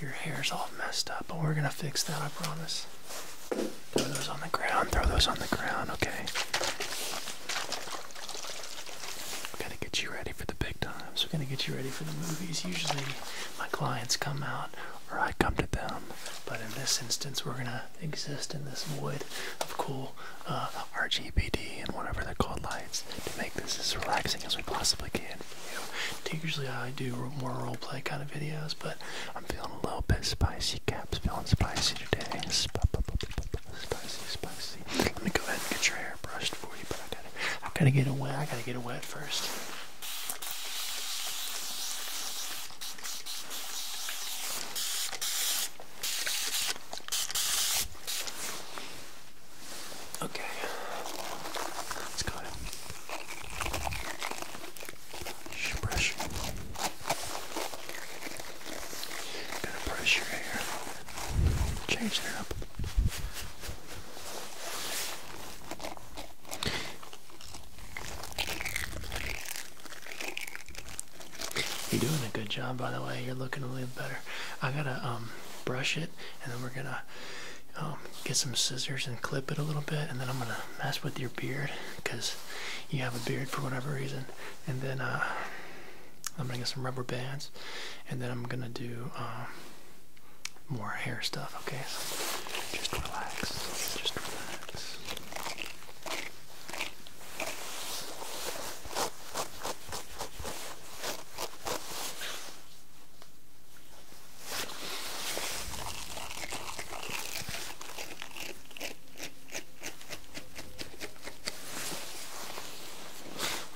Your hair's all messed up, but we're gonna fix that, I promise. Throw those on the ground, throw those on the ground, okay? We gotta get you ready for the big time. So We are going to get you ready for the movies. Usually my clients come out or I come to them, but in this instance we're gonna exist in this void of cool uh, RGBD and whatever they're called lights to make this as relaxing as we possibly can usually I do more roleplay kind of videos, but I'm feeling a little bit spicy. Cap's feeling spicy today. spicy, spicy. Let me go ahead and get your hair brushed for you, but I gotta, I gotta get it wet. I gotta get it wet first. Okay, let's go brush. i to brush your hair, change that up. You're doing a good job, by the way. You're looking a little better. I gotta um, brush it, and then we're gonna um, get some scissors and clip it a little bit and then I'm gonna mess with your beard because you have a beard for whatever reason and then uh, I'm gonna get some rubber bands and then I'm gonna do um, more hair stuff okay just relax just relax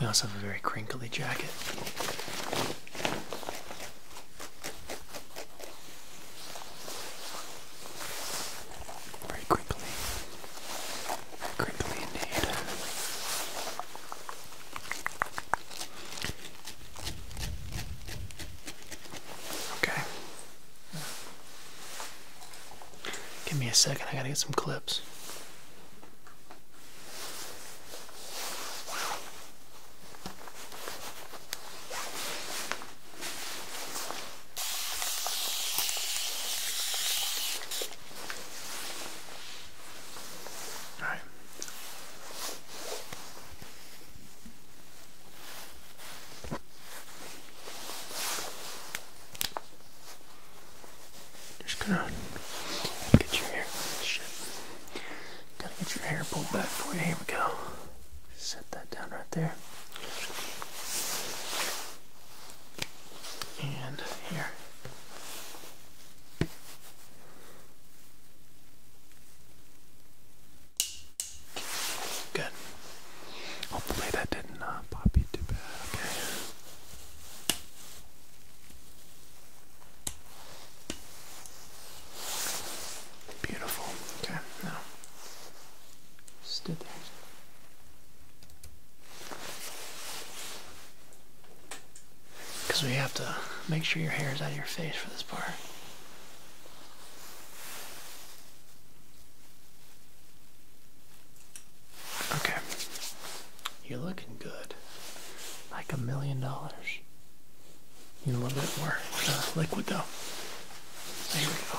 we also have a very crinkly jacket. Very crinkly. Very crinkly indeed. Okay. Give me a second, I gotta get some clips. All right. Just gonna get your hair. Shit. Gotta get your hair pulled back for Here we go. Set that down right there. And here. Good. Hopefully that didn't uh, pop you too bad. Beautiful. Okay. Now, stood there. Because we have to make sure your hair is out of your face for this part. Okay. You're looking good. Like a million dollars. Need a little bit more uh, liquid though. There we go.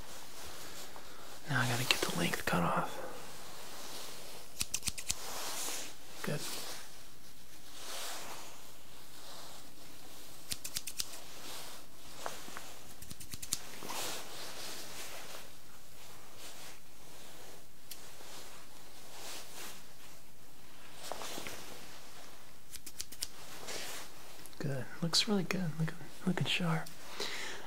Now I gotta get the length cut off. Good. Good. Looks really good. Looking, looking sharp.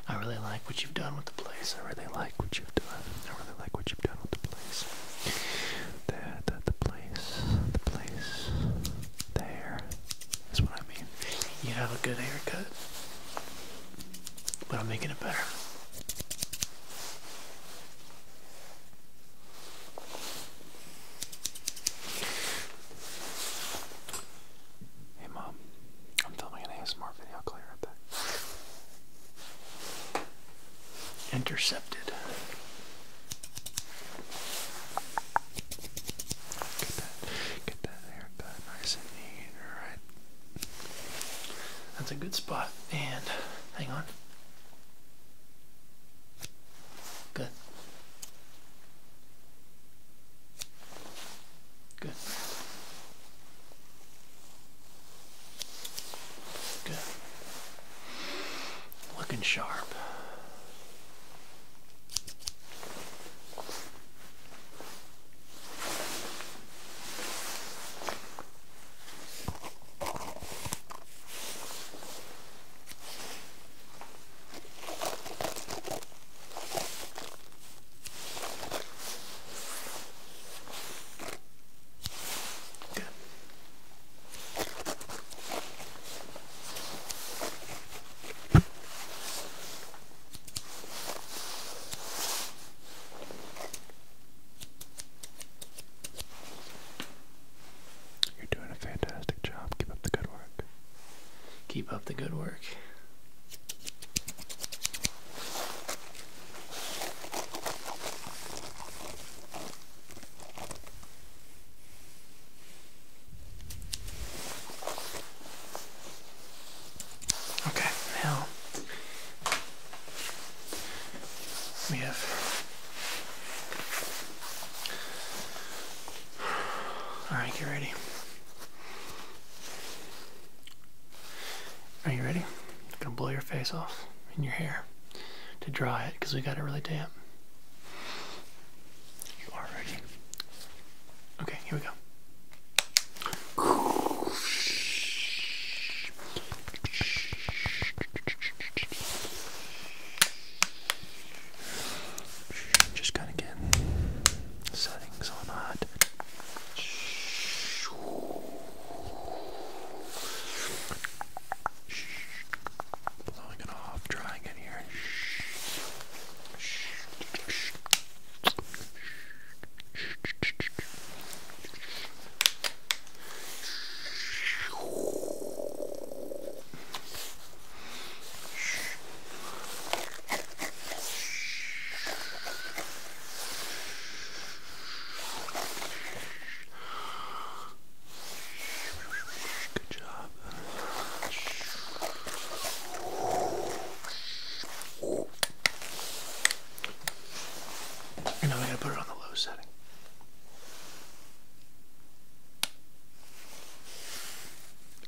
I really like what you've done with the place. I really like what you've done. I really like what you've done with the place. That, that the place, the place, there. what I mean. You have a good haircut, but I'm making it better. Hey mom, I'm filming an ASMR video. I'll call right back. Intercepted. Get that, get that haircut nice and neat, alright? That's a good spot. And hang on. Good. Good. Good. Looking sharp. You're doing a fantastic job. Keep up the good work. Keep up the good work. Okay, now we have Alright, get ready. Are you ready? gonna blow your face off and your hair to dry it because we got it really damp. You are ready. Okay, here we go. Just kind of get settings on that. Blowing it off, drying it here. Good job. And now we're going to put it on the low setting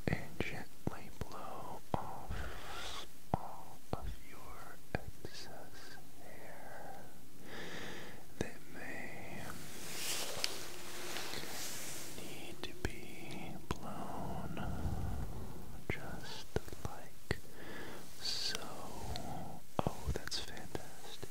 and gently blow off all of your excess hair that may need to be blown just like so. Oh, that's fantastic.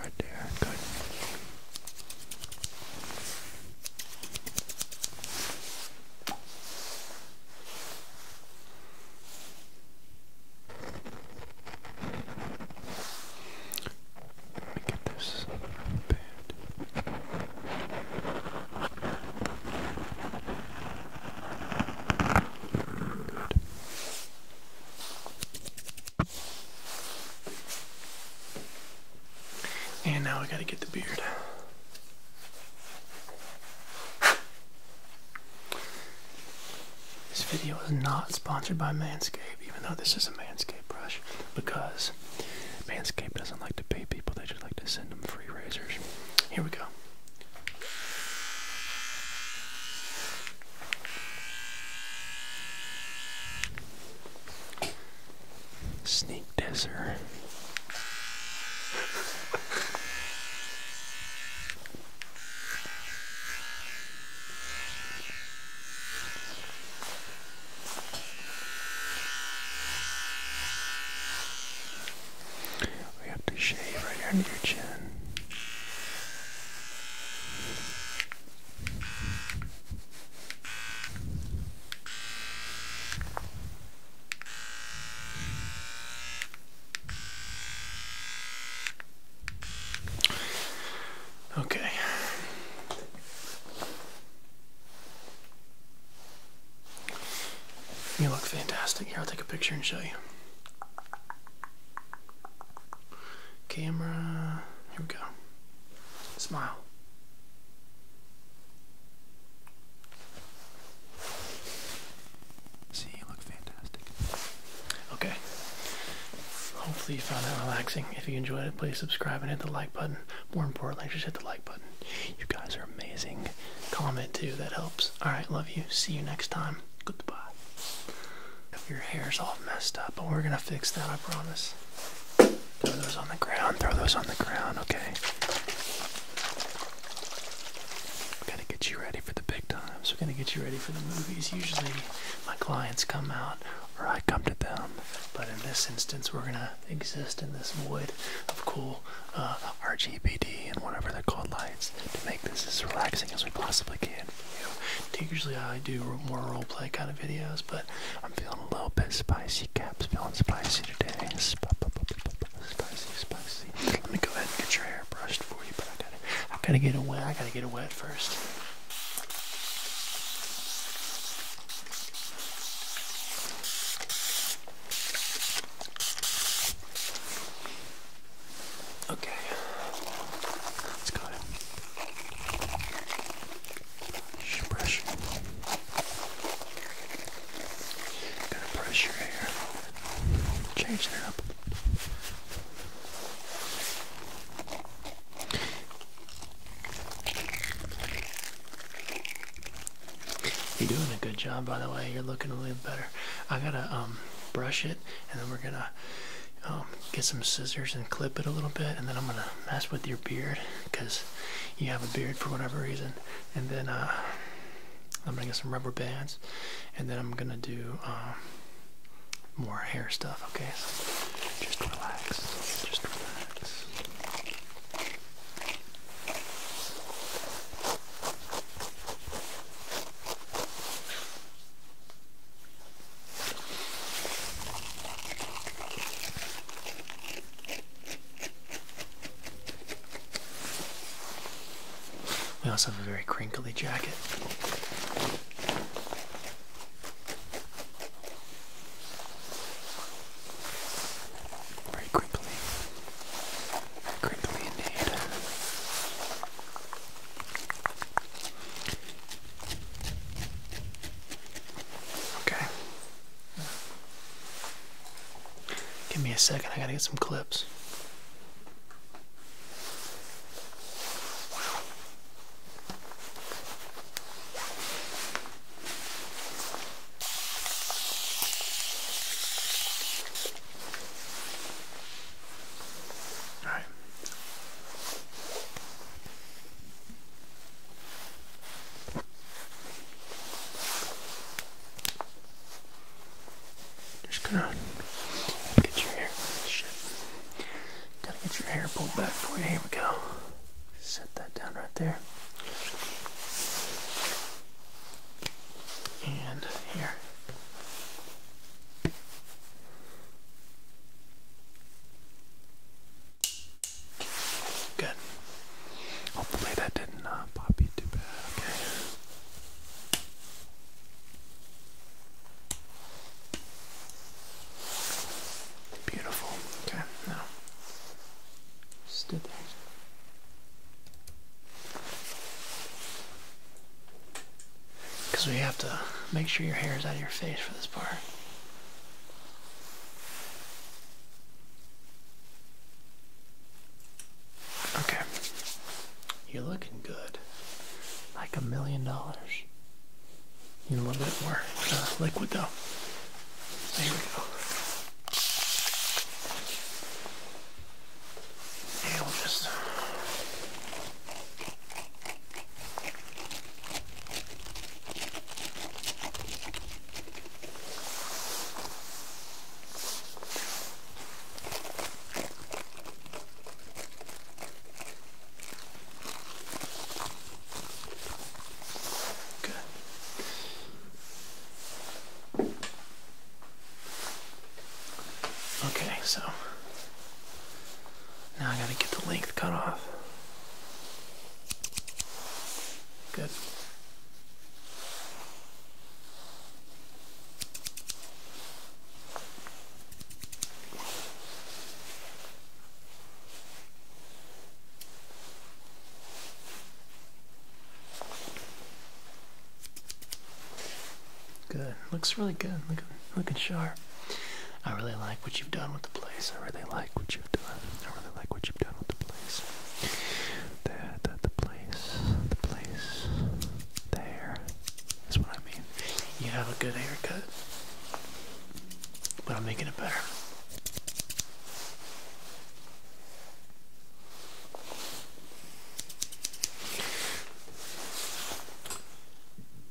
Right there, good. Let me get this band. And now I gotta get the beard. This video is not sponsored by Manscaped, even though this is a Manscaped brush, because razors. Manscaped doesn't like to pay people, they just like to send them free razors. Here we go. Sneak desert. We have to shave right under your chin. Okay. You look fantastic. Here, I'll take a picture and show you. Camera. Here we go. Smile. See, you look fantastic. Okay. Hopefully, you found that relaxing. If you enjoyed it, please subscribe and hit the like button more importantly, just hit the like button. You guys are amazing. Comment too, that helps. Alright, love you. See you next time. Goodbye. If your hair's all messed up, but we're gonna fix that, I promise. Throw those on the ground, throw those on the ground, okay? We are going to get you ready for the big time. So We're gonna get you ready for the movies. Usually my clients come out or I come to them. But in this instance we're gonna exist in this wood of cool uh, RGBD and whatever they're called lights to make this as relaxing as we possibly can for you. Usually I do more roleplay kind of videos, but I'm feeling a little bit spicy. Cap's feeling spicy today. spicy, spicy. Let me go ahead and get your hair brushed for you, but I gotta, I gotta get it wet. I gotta get it wet first. Okay, let's go ahead. Brush. Gonna brush your hair. Change it up. You're doing a good job, by the way. You're looking a little better. I gotta um, brush it, and then we're gonna um, get some scissors and clip it a little bit, and then I'm gonna mess with your beard because you have a beard for whatever reason. And then uh, I'm gonna get some rubber bands, and then I'm gonna do um, more hair stuff. Okay, just relax. Just relax. We also have a very crinkly jacket. Very crimply. Very crimply indeed. Okay. Give me a second, I gotta get some clips. All right. Just gonna get your hair. Shit. Gotta get your hair pulled back for you. Here we go set that down right there. And here. Good. Hopefully that didn't uh, pop too bad, okay? Beautiful. Okay, now stood there. Because we have to make sure your hair is out of your face for this part. Okay. You're looking good. Like a million dollars a little bit more uh, liquid though. There we go. And we'll just Good. Okay, so now I gotta get the length cut off. Good. Good. Looks really good. Looking, looking sharp. I really like what you've done with the place. I really like what you've done. I really like what you've done with the place. There, the, the place, the place, there. That's what I mean. You have a good haircut, but I'm making it better.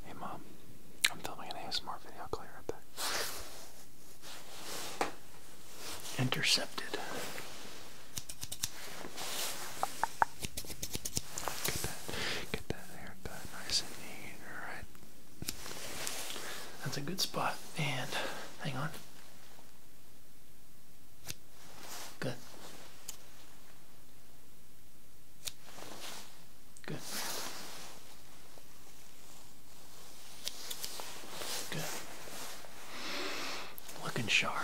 Hey mom, I'm filming an ASMR video. I'll call you right back. Intercepted. Get that, get that haircut nice and neat, alright? That's a good spot. And hang on. Good. Good. Good. Looking sharp.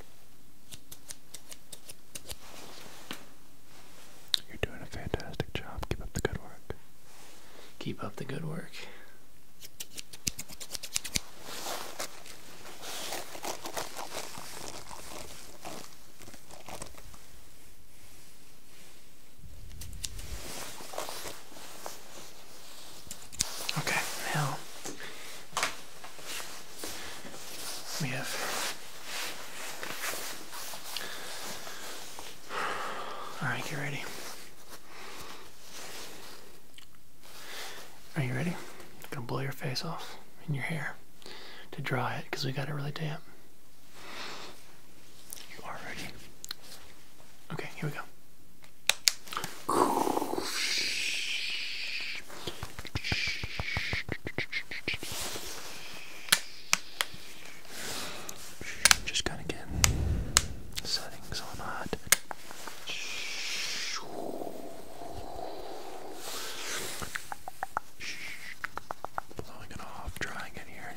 You're doing a fantastic job. Keep up the good work. Keep up the good work. Okay, now we have all right, get ready. Are you ready? gonna blow your face off and your hair to dry it because we got it really damp. You are ready. Okay, here we go. Just gonna get settings on that. Blowing it off, drying it here.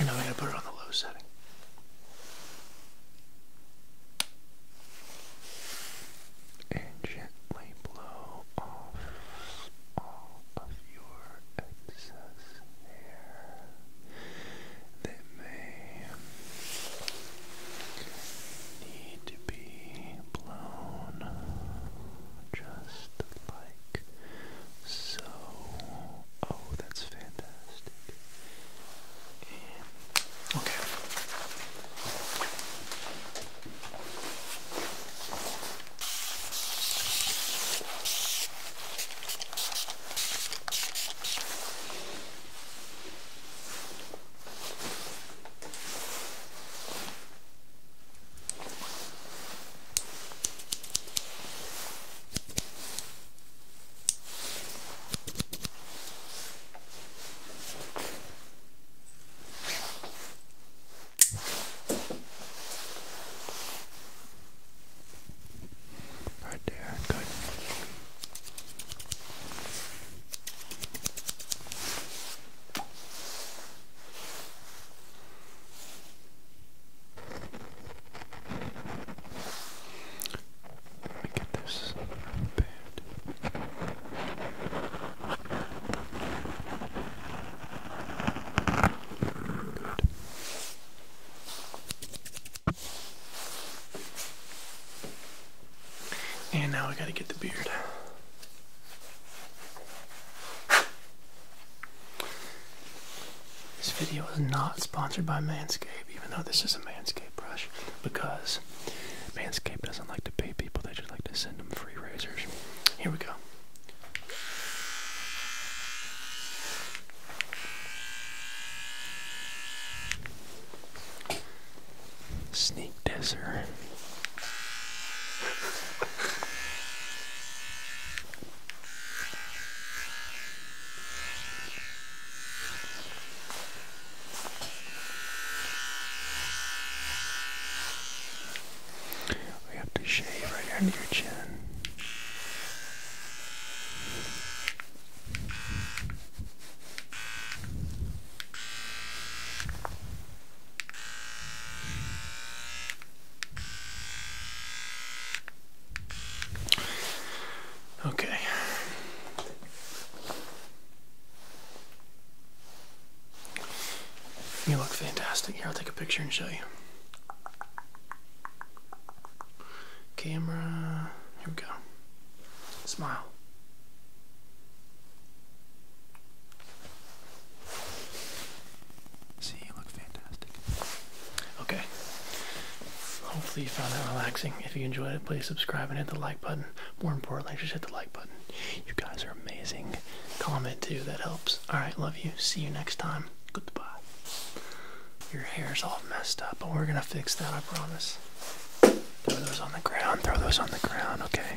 And I'm going to put it on the low setting. And gently blow off all of your excess hair that may need to be blown just like so, oh, that's fantastic. okay. Right there, good. Let get this bed. And now I gotta get the beard. This video is not sponsored by Manscaped, even though this is a Manscaped brush, because Manscaped doesn't like to pay people, they just like to send them free razors. Here we go. Sneak disser. We have to shave right under your chin. Okay. You look fantastic. Here, I'll take a picture and show you. Camera. Here we go. Smile. See, you look fantastic. Okay. Hopefully you found that relaxing. If you enjoyed it, please subscribe and hit the like button. More importantly, just hit the like button. You guys are amazing. Comment too, that helps. Alright, love you. See you next time. Goodbye. Your hair's all messed up, but we're gonna fix that, I promise. Throw those on the ground, throw those on the ground, okay?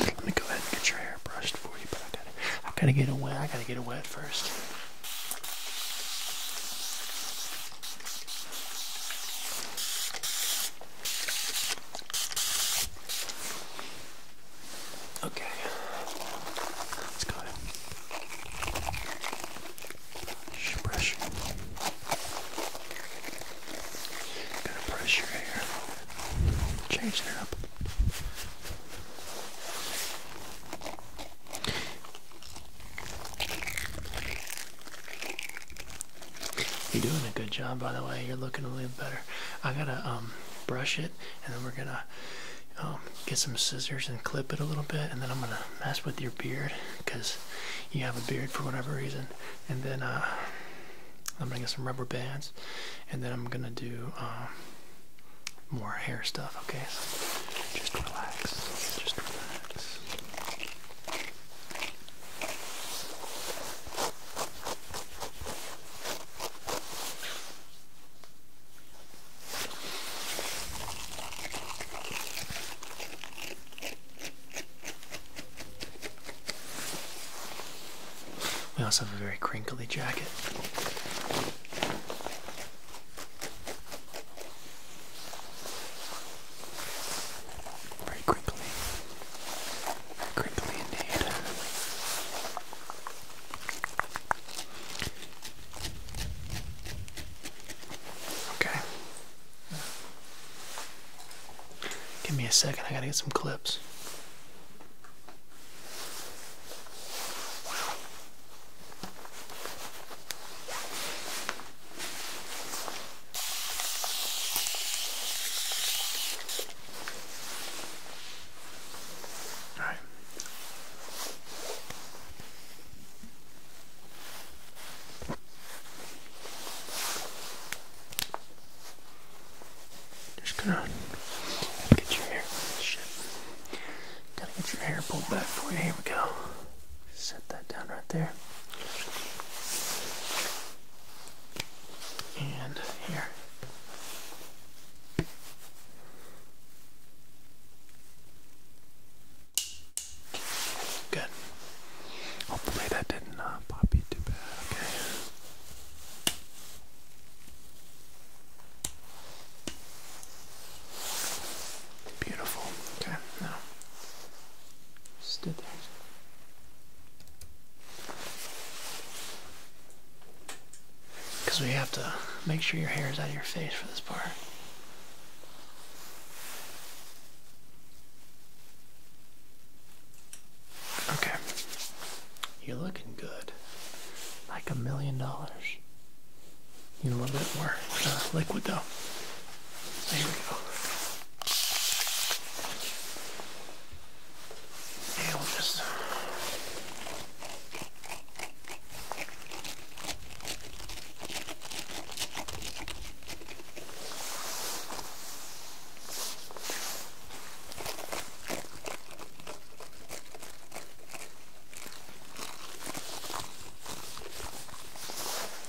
Let me go ahead and get your hair brushed for you, but I gotta, I gotta get it wet. I gotta get it wet first. Okay, let's go Brush. Gonna brush your hair. Changing it up. You're doing a good job, by the way. You're looking a little better. I gotta um, brush it, and then we're gonna um, get some scissors and clip it a little bit, and then I'm gonna mess with your beard because you have a beard for whatever reason, and then uh, I'm gonna get some rubber bands, and then I'm gonna do um, more hair stuff. Okay, just relax. Just relax. We also have a very crinkly jacket. Very crinkly. crinkly indeed. Okay. Give me a second, I gotta get some clips. All right. Just gonna get your hair. Shit. Gotta get your hair pulled back for you. Here we go. Set that down right there. And here. Good. Hopefully that didn't uh, pop you too bad. Okay. Beautiful. Okay, now stood there. Because we have to make sure your hair is out of your face for this part. Okay. You're looking good. Like a million dollars. You Need a little bit more uh, liquid though. There we go. And we'll just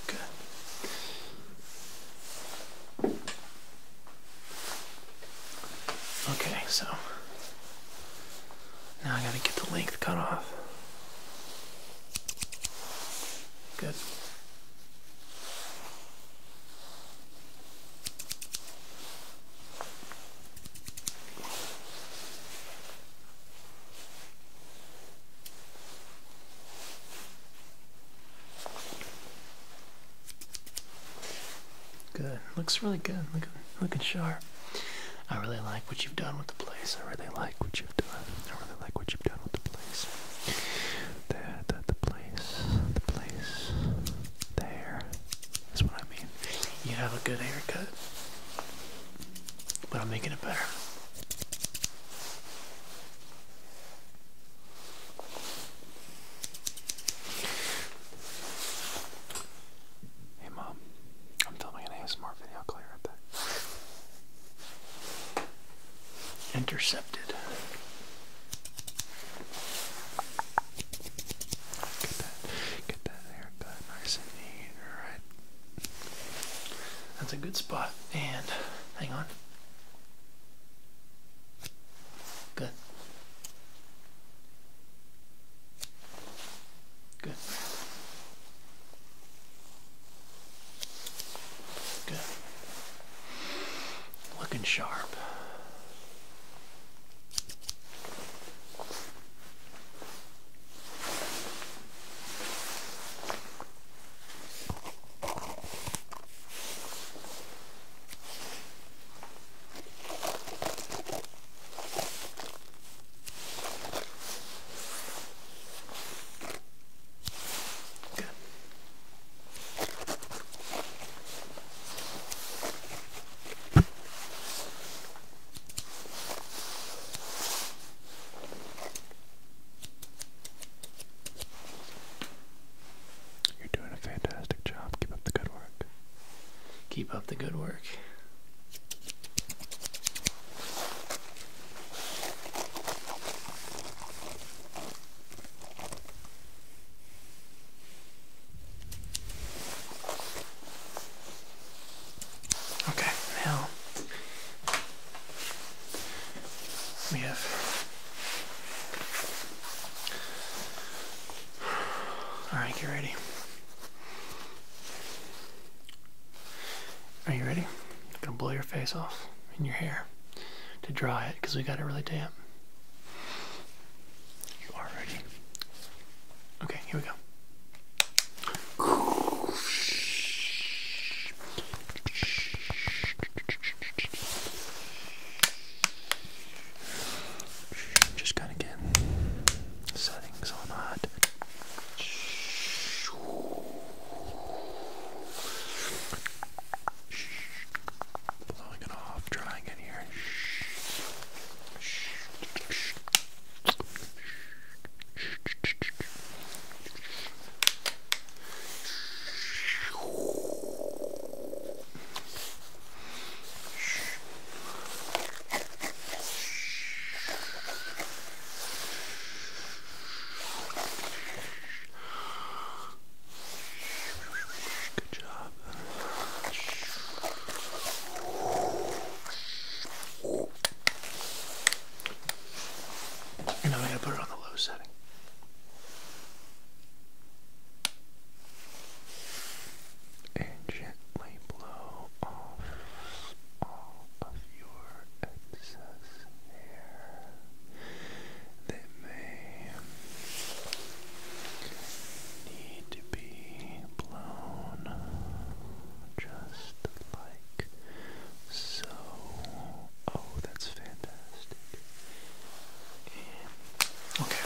Good. Okay, so now I gotta get the length cut off. Good. Good. Looks really good. Looking, looking sharp. I really like what you've done with the place. I really like what you've done. I really like what you've done with the place. That, that place, the place, the hair. That's what I mean. You have a good haircut, but I'm making it better. Hey mom, I'm filming an ASMR video. I'll call right back intercepted. Get that, get that haircut nice and neat, alright? That's a good spot. And hang on. Good. Good. Good. Looking sharp. Good. You're doing a fantastic job. Keep up the good work. Keep up the good work. Okay, now we have all right, get ready. Are you ready? I'm gonna blow your face off and your hair to dry it because we got it really damp. You are ready. Okay, here we go. Just kind of get settings on that blowing it off, drying it here. Good job. And I'm going to put it on the low setting. And gently blow off all of your excess hair that may need to be blown just like so. Oh, that's fantastic. okay.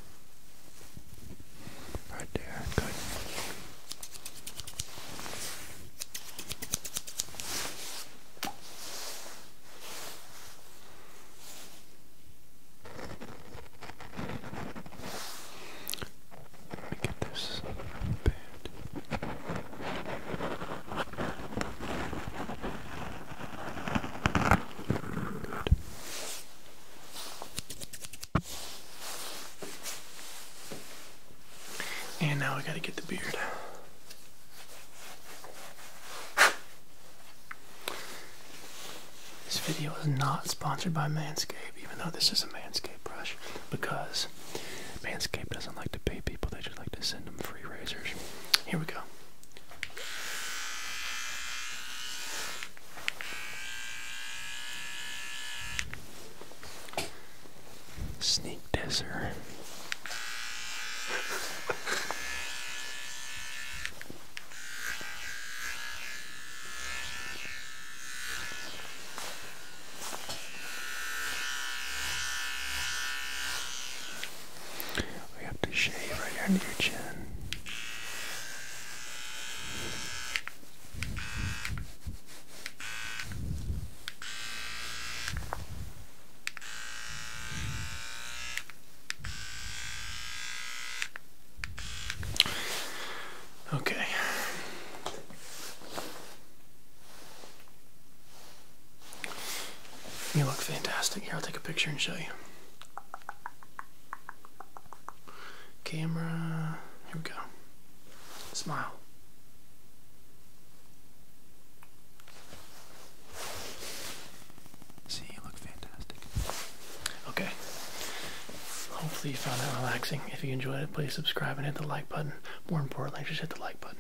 Right there, good. Let me get this band. Good. And now I gotta get the beard. This video is not sponsored by Manscaped, even though this is a Manscaped brush, because Manscaped doesn't like to pay people, they just like to send them free razors. Here we go. Sneak disser. We have to shave right under your chin. Okay. You look fantastic. Here, I'll take a picture and show you. Camera. Here we go. Smile. See, you look fantastic. Okay. Hopefully you found that relaxing. If you enjoyed it, please subscribe and hit the like button. More importantly, just hit the like button.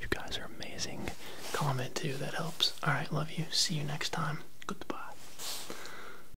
You guys are amazing. Comment too, that helps. Alright, love you. See you next time. Goodbye.